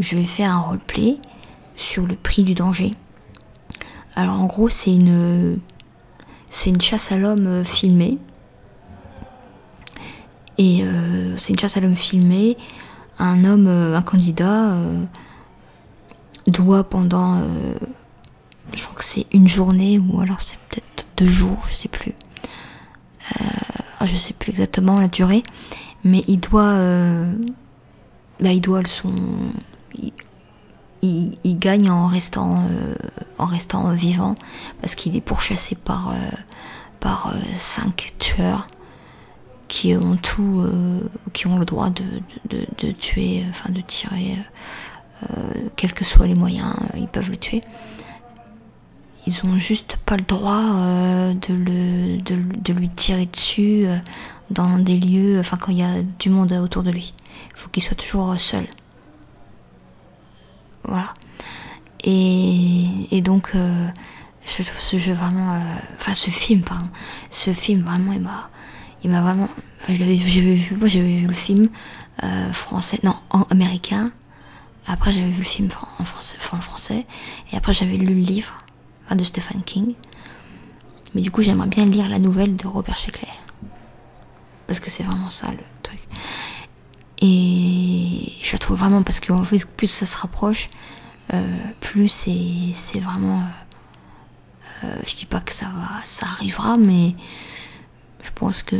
je vais faire un roleplay sur le prix du danger. Alors en gros, c'est une c'est une chasse à l'homme euh, filmée. Et euh, c'est une chasse à l'homme filmée. Un homme, euh, un candidat, doit pendant, je crois que c'est une journée ou alors c'est peut-être deux jours, je sais plus. je ah, je sais plus exactement la durée, mais il doit, bah, il doit le son, il, gagne en restant, en restant vivant parce qu'il est pourchassé par, euh, euh, cinq tueurs qui ont tout euh, qui ont le droit de, tuer de tirer quels que soient les moyens ils peuvent le tuer ils ont juste pas le droit de, le, de, lui tirer dessus dans des lieux enfin quand il y a du monde autour de lui il faut qu'il soit toujours seul voilà. Et, donc, je euh, trouve ce jeu vraiment. Euh, enfin, ce film, pardon. Ce film, vraiment, il m'a. Il m'a vraiment. j'avais vu, moi j'avais vu le film euh, français, non, américain. Après, j'avais vu le film en français, français. Et après, j'avais lu le livre de Stephen King. Mais du coup, j'aimerais bien lire la nouvelle de Robert Sheckley. Parce que c'est vraiment ça le truc. Et je trouve vraiment parce que fait, plus ça se rapproche, euh, plus c'est vraiment. Euh, euh, je dis pas que ça va, ça arrivera, mais je pense que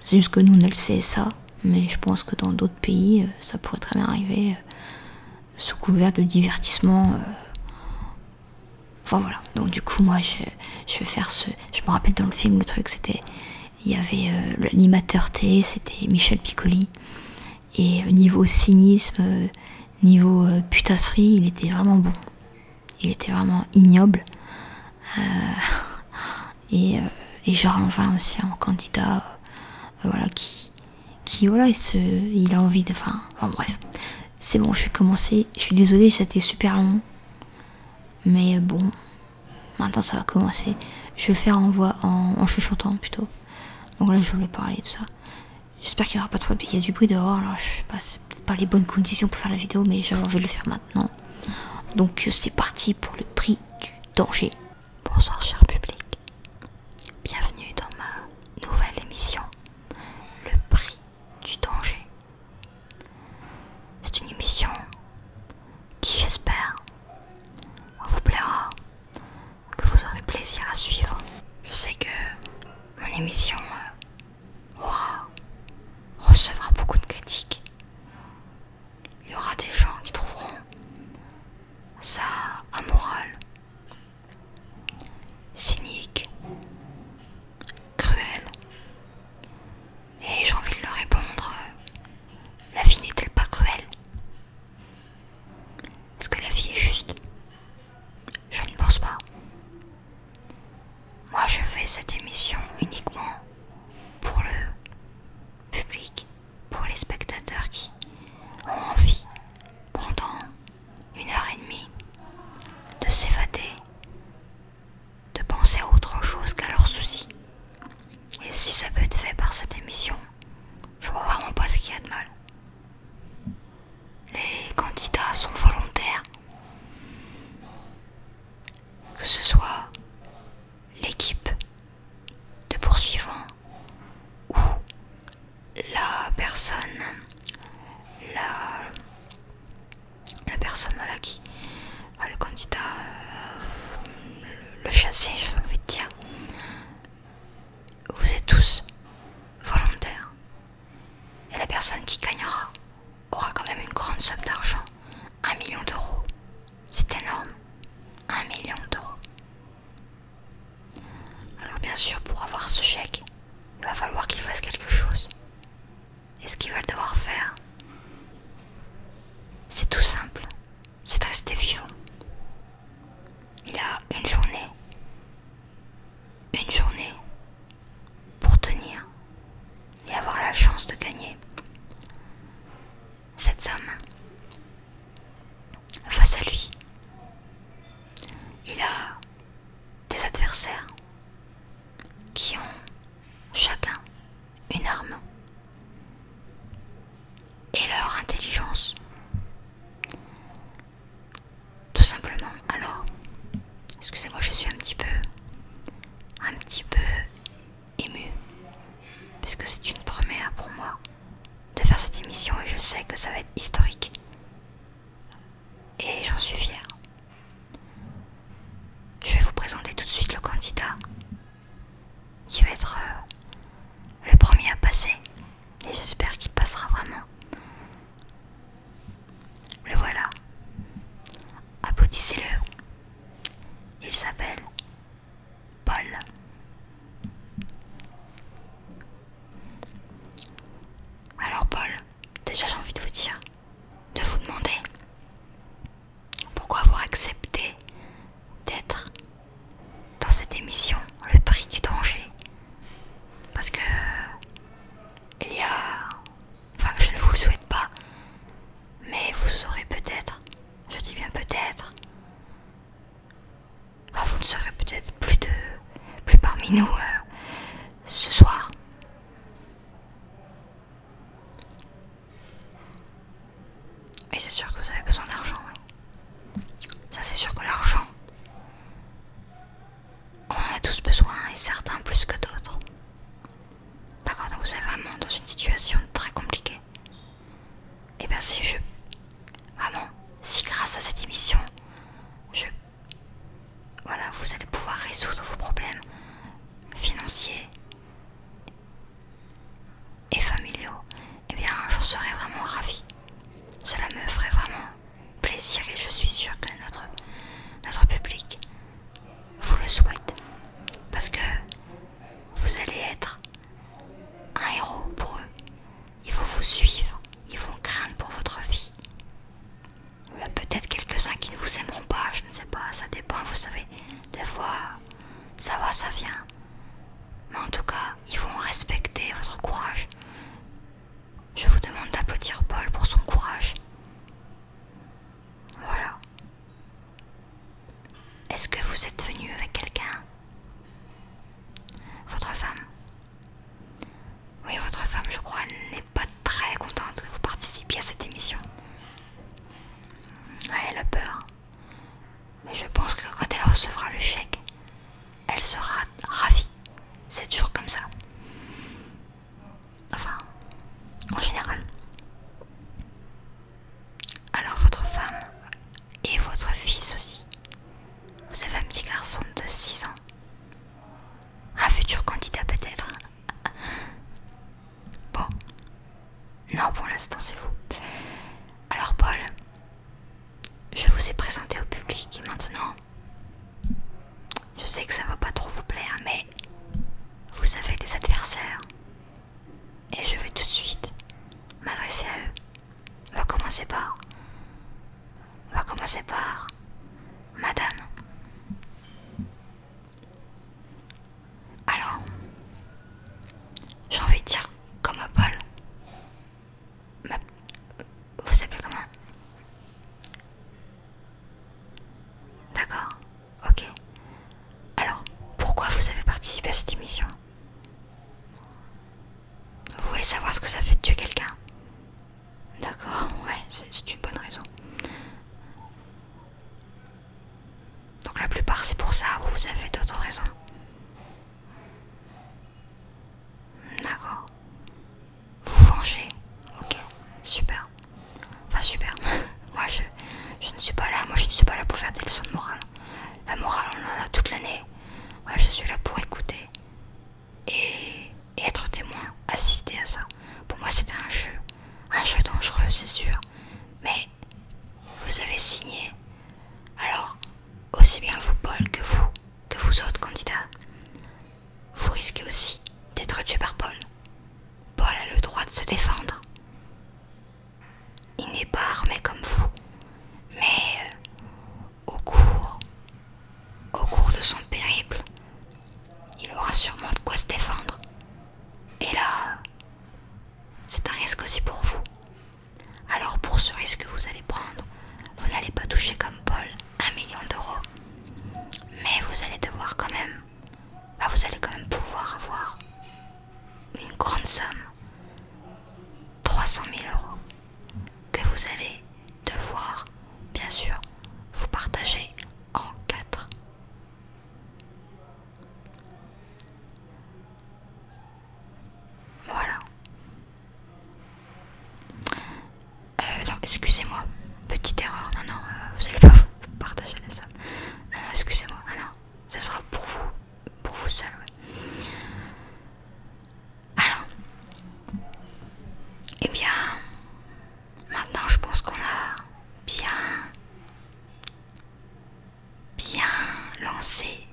c'est juste que nous on le CSA mais je pense que dans d'autres pays ça pourrait très bien arriver sous couvert de divertissement. Enfin voilà, donc du coup moi je, vais faire ce... Je me rappelle dans le film le truc c'était... Il y avait euh, l'animateur T, c'était Michel Piccoli. Et euh, niveau cynisme, euh, niveau putasserie, il était vraiment bon. Il était vraiment ignoble. et, enfin aussi un candidat voilà, qui, qui voilà, il, il a envie de... Enfin, enfin bref. C'est bon, je vais commencer. Je suis désolée, c'était super long. Mais euh, bon, maintenant ça va commencer. Je vais le faire en voix, en, chuchotant plutôt. Donc là, je voulais parler de ça. J'espère qu'il n'y aura pas trop de bruit. Il y a du bruit dehors, alors je sais pas, c'est peut-être pas les bonnes conditions pour faire la vidéo, mais j'avais envie de le faire maintenant. Donc euh, c'est parti pour le prix du danger. Bonsoir, cher public. Bienvenue dans ma nouvelle émission. Le prix du danger. C'est une émission qui, j'espère, vous plaira, que vous aurez plaisir à suivre. Je sais que mon émission euh, aura, recevra beaucoup de critiques. Il y aura des gens qui trouveront ça amoral, cynique, cruel. Et j'ai envie de leur répondre, euh, la vie n'est-elle pas cruelle Est-ce que la vie est juste Je ne pense pas. Moi je fais cette émission uniquement pour le public, pour les spectateurs qui ont envie pendant une heure et demie, de s'évader, de penser à autre chose qu'à leurs soucis. Et si ça peut être fait par cette émission, je vois vraiment pas ce qu'il y a de mal. Les candidats sont volontaires. Que ce soit l'équipe de poursuivants ou la personne, la, la personne à qui, le candidat, euh, le, chasser, chassé, je envie dire, vous êtes tous volontaires. Et la personne qui gagnera aura quand même une grande somme d'argent, un million d'euros. C'est énorme, un million d'euros. Alors bien sûr, pour avoir ce chèque, il va falloir qu'il fasse quelque chose. Et ce qu'il va devoir faire, c'est tout simple, c'est de rester vivant. Il a une journée, une journée pour tenir et avoir la chance de gagner cette somme. Face à lui, il a des adversaires qui ont chacun une arme et leur intelligence. Tout simplement, alors, excusez-moi, je suis un petit peu, un petit peu ému, parce que c'est une première pour moi de faire cette émission et je sais que ça va être historique. Et j'en suis fière. Je vais vous présenter tout de suite le candidat qui va être euh, le premier à passer. Et j'espère qu'il passera vraiment. Le voilà. Applaudissez-le. Il s'appelle Paul. Alors Paul, déjà j'ai envie de vous dire, de vous demander pourquoi avoir accepté d'être dans cette émission Le prix du danger. Parce que il y a... Enfin, je ne vous le souhaite pas, mais vous saurez peut-être, je dis bien peut-être, vous ne serez peut-être plus de plus parmi nous euh, ce soir. Et c'est sûr que vous avez besoin d'argent. Hein. Ça c'est sûr que l'argent, on en a tous besoin et certains plus que d'autres. D'accord, donc vous êtes vraiment dans une situation très compliquée. Et eh bien si je... Vraiment, si grâce à cette émission, je... Voilà, vous allez pouvoir résoudre vos problèmes financiers et familiaux, et eh bien j'en serais vraiment ravi Cela me ferait vraiment plaisir et je suis sûre que notre, notre public vous le souhaite. Parce que vous allez être un héros pour eux. Ils vont vous suivre, ils vont craindre pour votre vie. Il a peut-être quelques-uns qui ne vous aimeront pas, je ne sais pas, ça dépend, vous savez. Des fois, ça va, ça vient. Mais en tout cas, ils vont respecter votre courage. Je vous demande d'applaudir Paul pour son courage. Voilà. Est-ce que vous êtes venu avec quelqu'un Votre femme Oui, votre femme, je crois, n'est pas très contente que vous participiez à cette émission. elle a peur. Mais je pense que quand elle recevra le chèque, elle sera ravie. C'est toujours comme ça. Enfin, en général. Alors votre femme et votre fils aussi. Vous avez un petit garçon de 6 ans. Un futur candidat peut-être. Bon. Non, pour l'instant c'est vous. Alors Paul, je vous ai présenté au public et maintenant, je sais que ça va pas trop vous plaire, mais vous avez des adversaires. Et je vais tout de suite m'adresser à eux. On va commencer par. On va commencer par. Madame. Alors. J'ai envie de dire comme un Paul. Ma... Vous savez comment D'accord. Ok. Alors, pourquoi vous avez participé à cette émission Vous voulez savoir ce que ça fait de tuer quelqu'un D'accord, ouais, c'est une bonne raison. Donc la plupart c'est pour ça ou vous avez d'autres raisons D'accord. Vous vengez. Ok, super. Enfin super, moi je, ne suis pas là, moi je ne suis pas là pour faire des leçons de morale. La morale on en a toute l'année. Moi je suis là pour écouter et, être témoin, assister à ça. Pour moi c'était un jeu, un jeu dangereux c'est sûr. Mais vous avez signé, alors aussi bien vous Paul que vous, que vous autres candidats, vous risquez aussi d'être tué par Paul. Paul a le droit de se défendre. Il n'est pas armé comme vous, mais euh, au cours, au cours de son périple, il aura sûrement de quoi se défendre. Et là, c'est un risque aussi pour vous. Alors pour ce risque que vous allez prendre, vous n'allez pas toucher comme Paul un million d'euros, mais vous allez devoir quand même vous allez quand même pouvoir avoir une grande somme, 300 000 euros, que vous allez devoir, bien sûr, vous partager en quatre. Voilà. Euh, non, excusez-moi, petite erreur. Non, non, euh, vous allez pas partager la salle. Non, non excusez-moi. Ah non, ça sera pour vous, pour vous seul. Ouais. Alors, eh bien, maintenant je pense qu'on a bien, bien lancé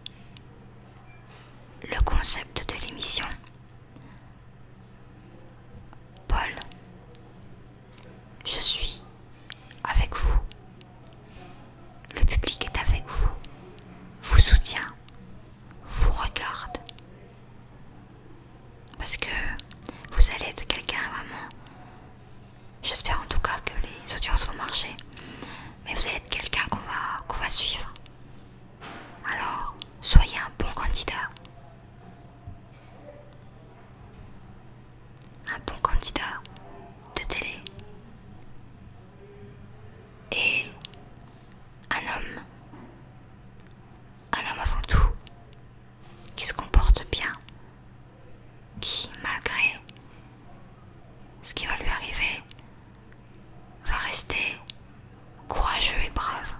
le concept de l'émission. Paul, je suis avec vous. Le public est avec vous, vous soutient, vous regarde. Parce que vous allez être quelqu'un vraiment J'espère en tout cas que les audiences vont marcher. Mais vous allez être quelqu'un qu'on va, va suivre. Alors, soyez un bon candidat un bon candidat de télé et un homme, un homme avant tout, qui se comporte bien, qui malgré ce qui va lui arriver, va rester courageux et brave.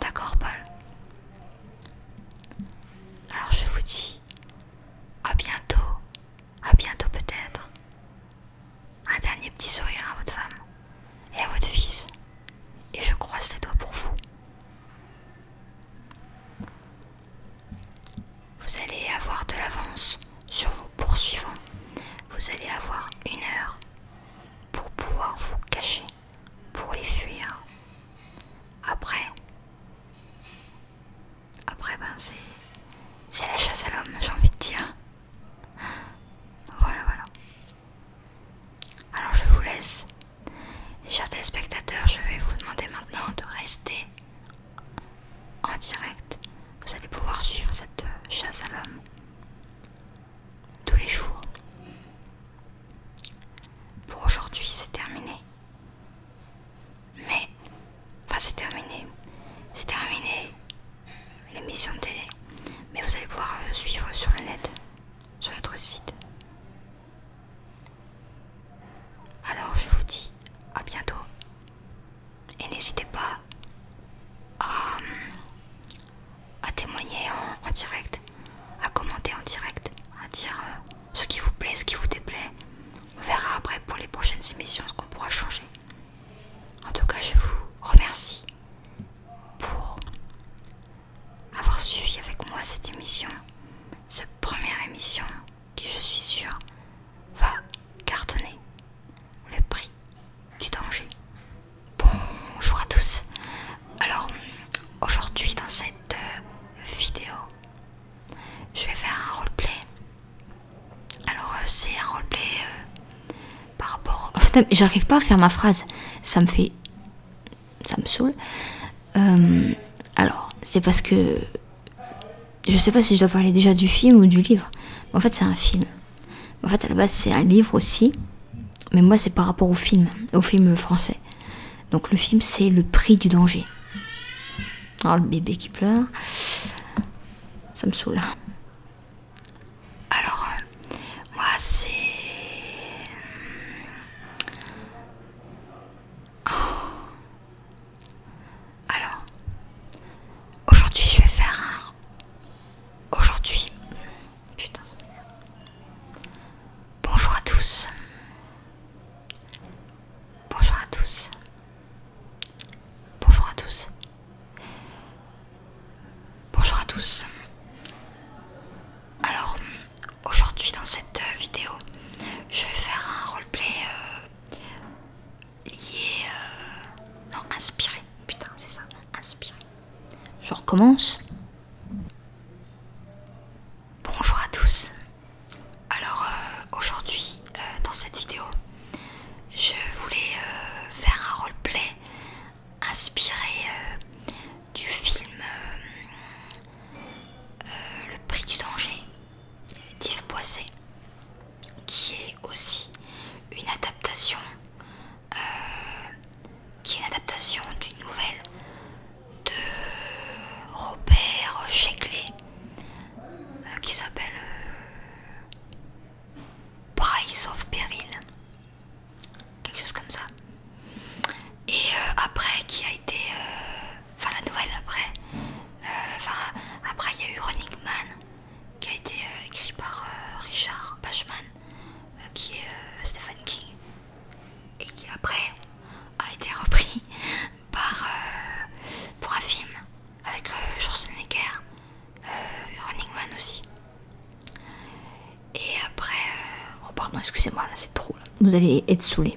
D'accord, Paul Alors je vous dis à bientôt, à bientôt peut-être. Un dernier petit sourire à votre femme et à votre fils. Et je croise les doigts pour vous. Vous allez avoir de l'avance sur vous Poursuivons, vous allez avoir une heure pour pouvoir vous cacher, pour les fuir. Après, après ben c'est la chasse à l'homme, j'ai envie de dire. Voilà, voilà. Alors je vous laisse. Chers téléspectateurs, je vais vous demander maintenant de rester en direct. Vous allez pouvoir suivre cette chasse à l'homme tous les jours. Pour aujourd'hui, c'est terminé. Mais, enfin, c'est terminé. C'est terminé l'émission de télé. Mais vous allez pouvoir euh, suivre sur le net, sur notre site. Alors, je vous dis à bientôt et n'hésitez pas à, témoigner en, direct, à commenter en direct, à dire euh, ce qui vous plaît, ce qui vous déplaît. On verra après pour les prochaines émissions ce qu'on pourra changer. En tout cas, je vous remercie pour avoir suivi avec moi cette émission, cette première émission qui, je suis sûre, va cartonner le prix du danger. Bonjour à tous. Alors aujourd'hui dans cette euh, vidéo, je vais faire un roleplay. Alors euh, c'est un roleplay euh, par rapport. J'arrive pas à faire ma phrase. Ça me fait, ça me saoule. alors c'est parce que je sais pas si je dois parler déjà du film ou du livre. en fait, c'est un film. En fait, à la base, c'est un livre aussi. Mais moi, c'est par rapport au film, au film français. Donc, le film, c'est Le prix du danger. Alors, le bébé qui pleure. Ça me saoule. Alors, euh, moi, c'est. Oh, alors, aujourd'hui je vais faire un... Aujourd'hui... Putain. Bonjour à tous. Bonjour à tous. Bonjour à tous. Bonjour à tous. Alors, aujourd'hui dans cette vidéo, je vais faire un roleplay euh, lié... Euh, non, inspiré. Putain, c'est ça. Inspiré. Je recommence. Bonjour à tous. Alors euh, aujourd'hui, euh, dans cette vidéo, je voulais faire un roleplay inspiré du film Le Prix du Danger, d'Yves Boisset qui est aussi une adaptation euh, qui est une adaptation d'une nouvelle de Robert Sheckley euh, qui s'appelle euh, Price of Peril quelque chose comme ça et après qui a été enfin la nouvelle après, euh, enfin après il y a eu Running Man qui a été euh, écrit par euh, Richard Bachman qui est Stephen King et qui après a été repris par pour un film avec George Schwarzenegger, Running Man aussi. Et après, oh pardon, excusez-moi, là c'est trop. Vous allez être saoulé